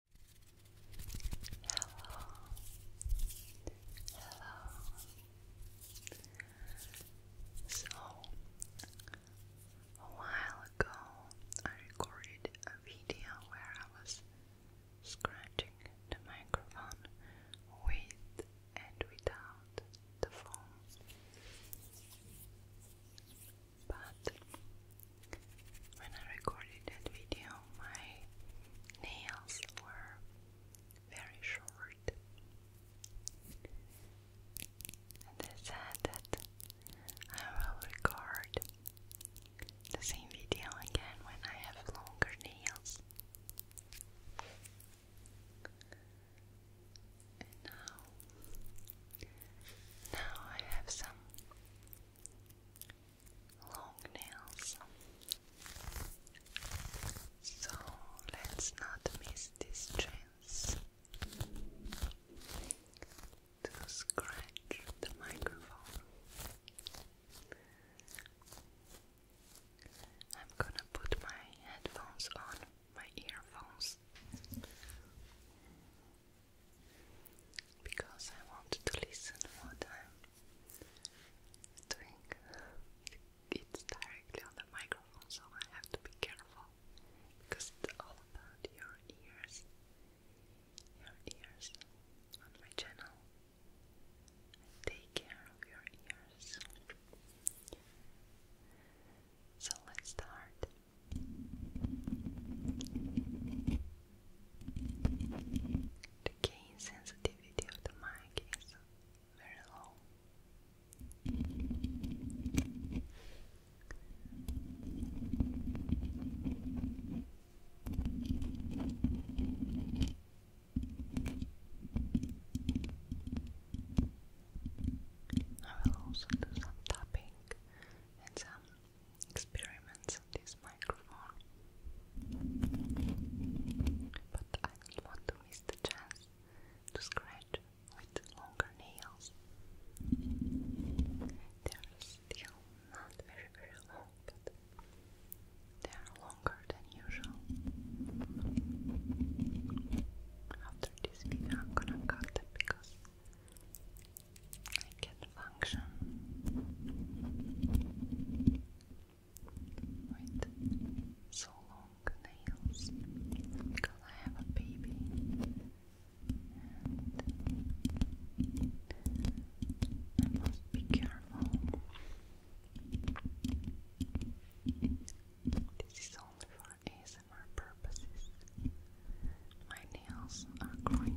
Hello, hello. So, a while ago, I recorded a video where I was scratching the microphone with and without the phone but when I recorded that video, my nails were very short, and I said that I will record the same video again when I have longer nails. now, now I have some long nails. So let's not miss this chance to scratch the microphone. I'm gonna put my headphones on, my earphones because I wanted to listen what I'm doing. It's directly on the microphone, so I have to be careful because it's all about your ears. Your ears on my channel. take care of your ears. So let's start. The gain sensitivity of the mic is very low. I will also do some tapping and some experiments on this microphone. But I don't want to miss the chance to scratch with longer nails. They are still not very, very long, but they are longer than usual. After this video, I'm gonna cut them because it can function with so long nails because I have a baby and I must be careful. This is only for ASMR purposes. My nails are growing very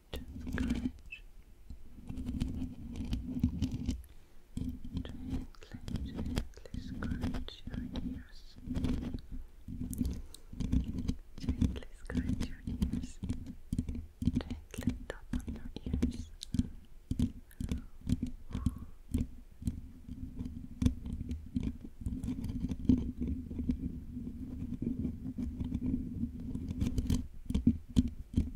just scratch gently, gently scratch your ears gently scratch your ears gently tap on your ears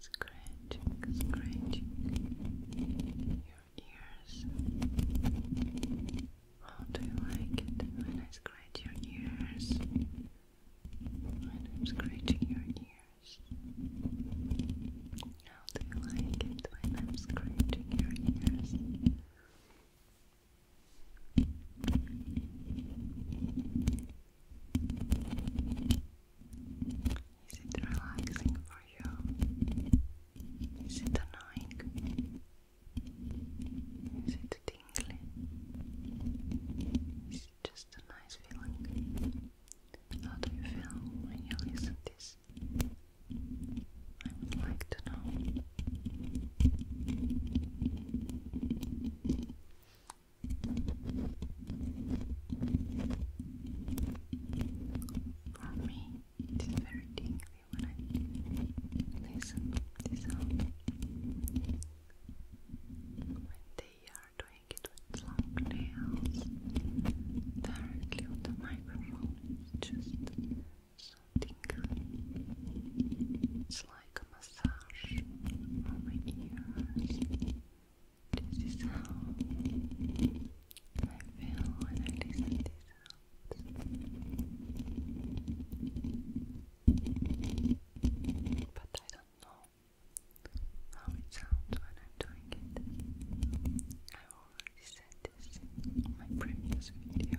Scratching, scratching your ears. How do you like it when I scratch your ears? When I'm scratching your ears. How do you like it when I'm scratching your ears? Is it relaxing for you? Is it annoying? Is it tingly? Is it just a nice feeling? How do you feel when you listen this? I would like to know. For me, it is very tingly when they are doing it with long nails directly on the microphone, it's just so tingly. It's like massage This is how I feel when I listen to these But I don't know how it sounds when I'm doing it. I already said this in my previous video.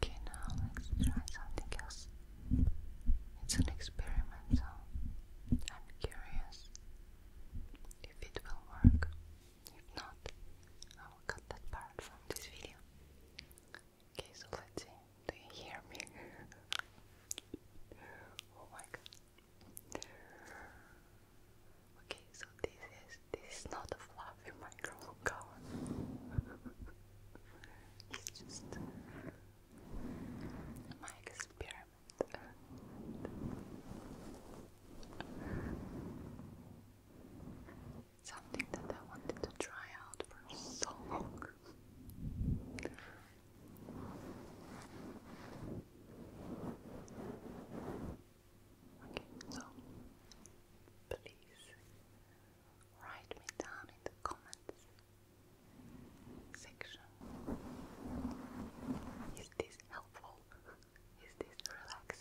Okay, now let's try something else. It's an experiment, so I'm curious if it will work. If not, I will cut that part from this video. Okay, so let's see. Do you hear me? oh my god. Okay, so this is this is not a fluffy microphone it's just my experiment something that I wanted to try out for so long. Okay, so please write me down in the comments section. Is this helpful? Is this relaxing?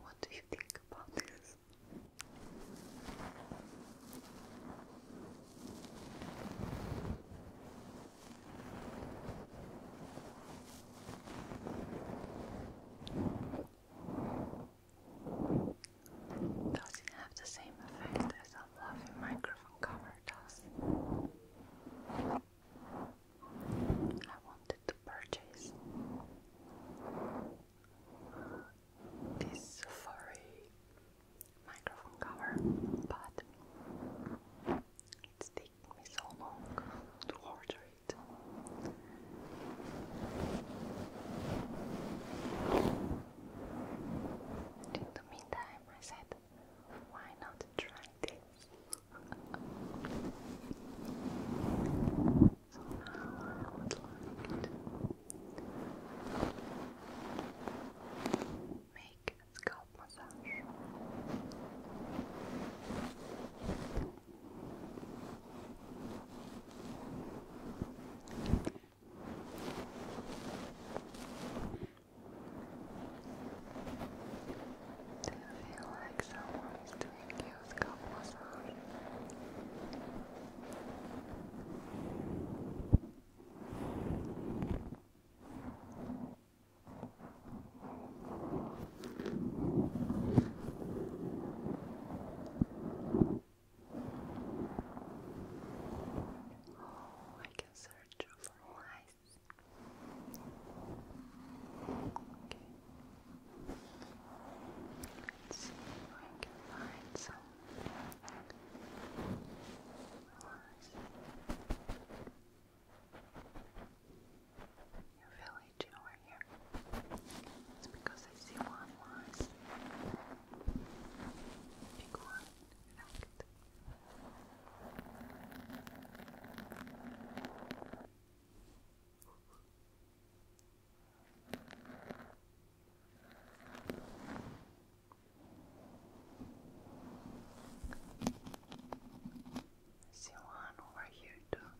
What do you think about this? Does it have the same effect as a fluffy microphone cover does? I wanted to purchase this furry microphone cover, but it's taking me so long to order it. In the meantime, I said, why not try this? So now I would like to make a scalp massage. Just do you feel like someone is doing you scalp massage? Oh, I can search for lice Okay. Let's see if I can find some your village over here. It's because I see one was big one. Right see one over here too.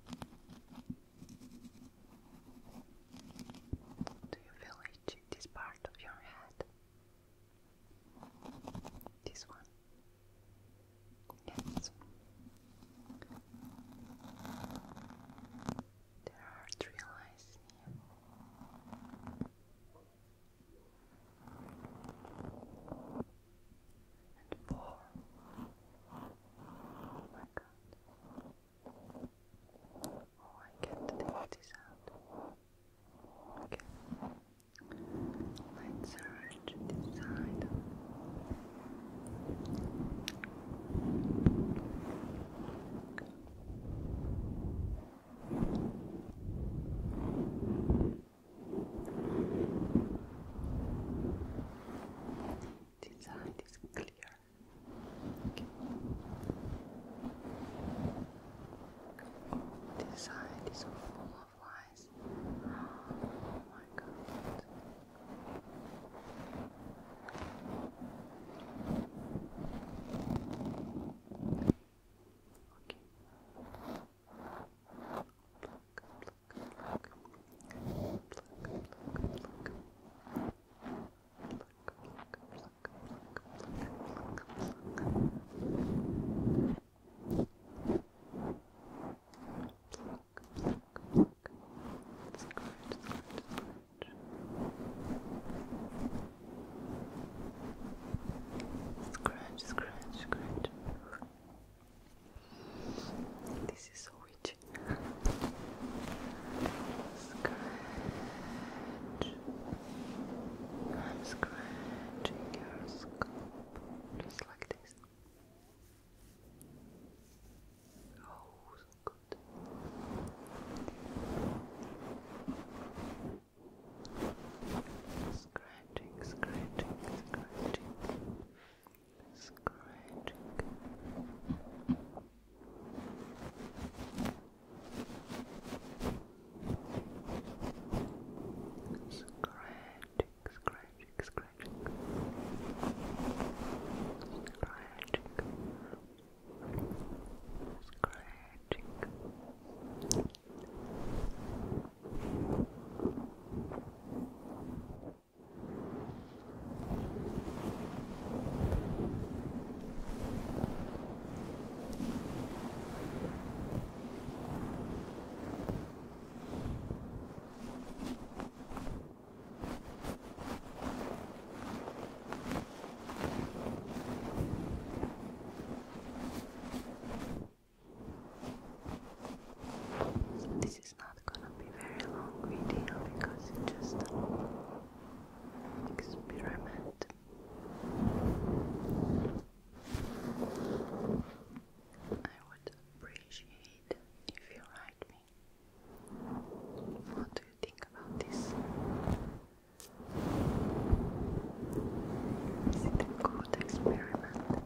Do you feel itchy this part of your head? This one. Yes. There are three lines here. And four. Oh my god. Oh, I can't take this out. Okay. Let's arrange this side. This side is clear. This side is full of lies. Oh my god. Okay. Pluck, pluck, pluck. Pluck, pluck, pluck. Pluck, pluck, pluck, pluck, pluck, pluck, pluck. Scratch, scratch, scratch. This is so witchy. Scratch. I'm scratching your scalp. Just like this. Oh, so good. Scratching, scratching, scratching, scratching. Scratching, scratching, scratching, scratching, scratching, scratching. Scratching, this is not gonna be very long video because it's just an experiment. I would appreciate if you write me. What do you think about this? Is it a good experiment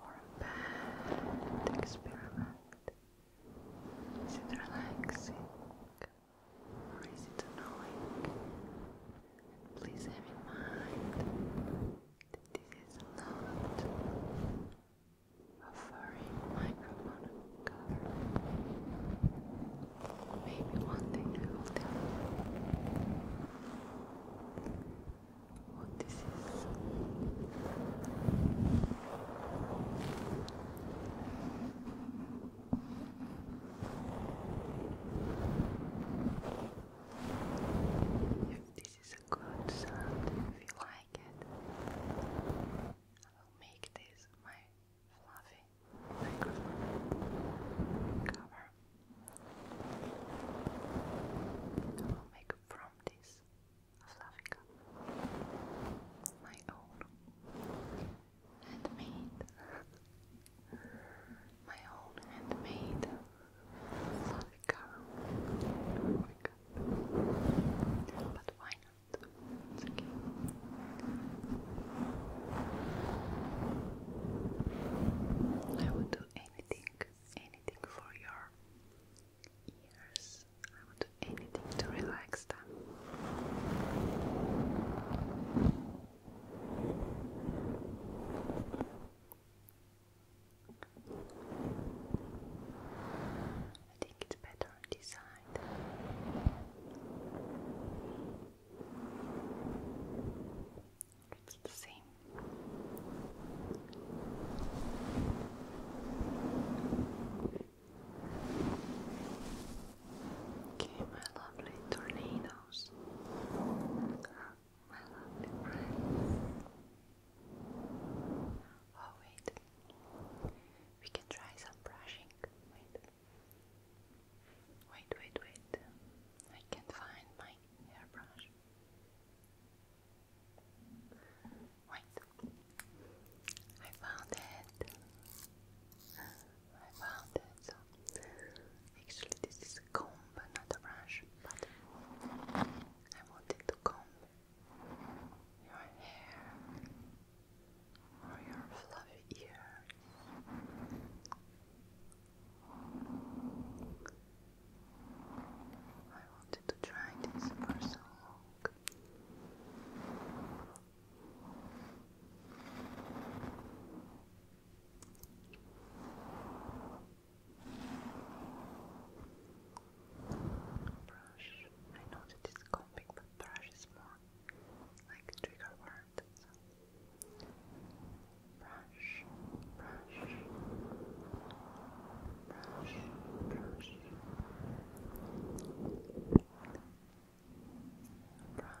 or a bad experiment? Is it relaxing or is it annoying? please have in mind this is not a furry microphone cover. Maybe one thing I will what this is. If this is a good sound, if you like it, I will make this my fluffy cover. I will make from this a fluffy cover, my own, handmade my own handmade fluffy car. But why not? It's okay. I would do anything, anything for your ears. I would do anything to relax them. I think it's better on this side. It's the same. Okay, my lovely tornadoes. Oh, wait. We can try some brushing. Wait. Wait, wait, wait. I can't find my hairbrush. Wait. I found it. I found it so Actually, this is a comb, not a brush, but I wanted to comb your hair or your fluffy ears. I wanted to try this for so long. Brush. I know that it's combing, but brush is more like trigger word. So. brush, brush, brush. Brush,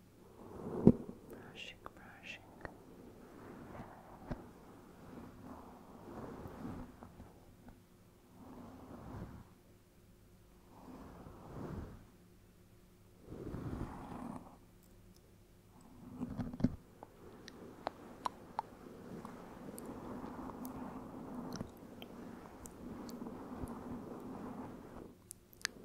brushing, brushing. Okay,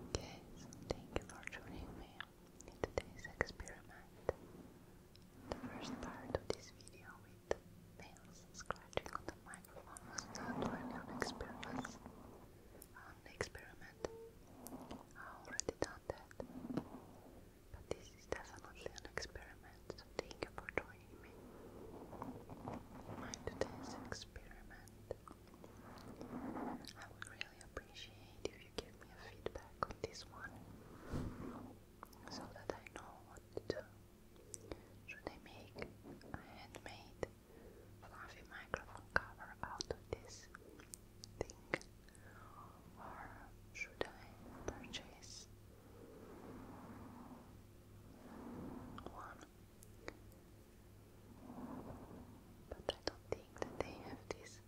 thank you for joining me in today's experiment. the first part of this video, the scratching on the microphone not really an experience, an um, experiment. I already done that. But this is definitely an experiment, thank you for joining me. My today's experiment. I would really appreciate if you give me a feedback on this one so that I know what to do should I make a handmade fluffy microphone cover out of this thing? Or should I purchase one? But I don't think that they have this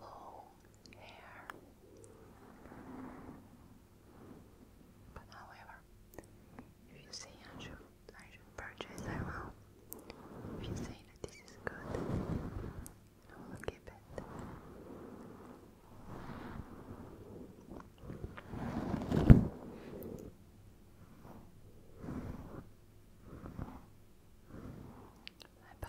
long hair. But however, if you say I should, I should purchase, I If you say that this is good, I will keep it. Bye bye.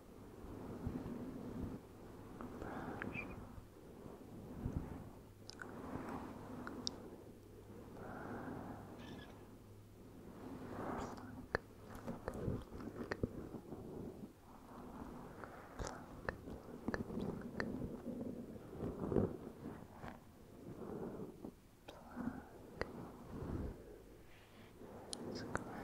brush, brush. Pluck, pluck, pluck. Pluck, pluck, pluck. Pluck. Scratch.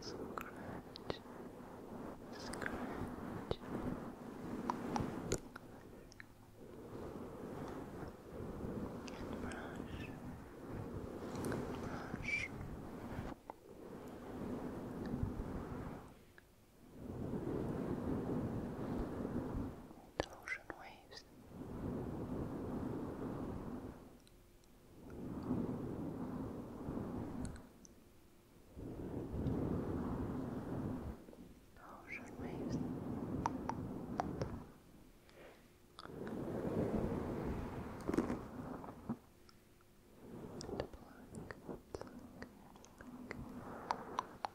Scratch, scratch. And brush, brush. The ocean waves Ocean waves. And pluck, pluck, pluck.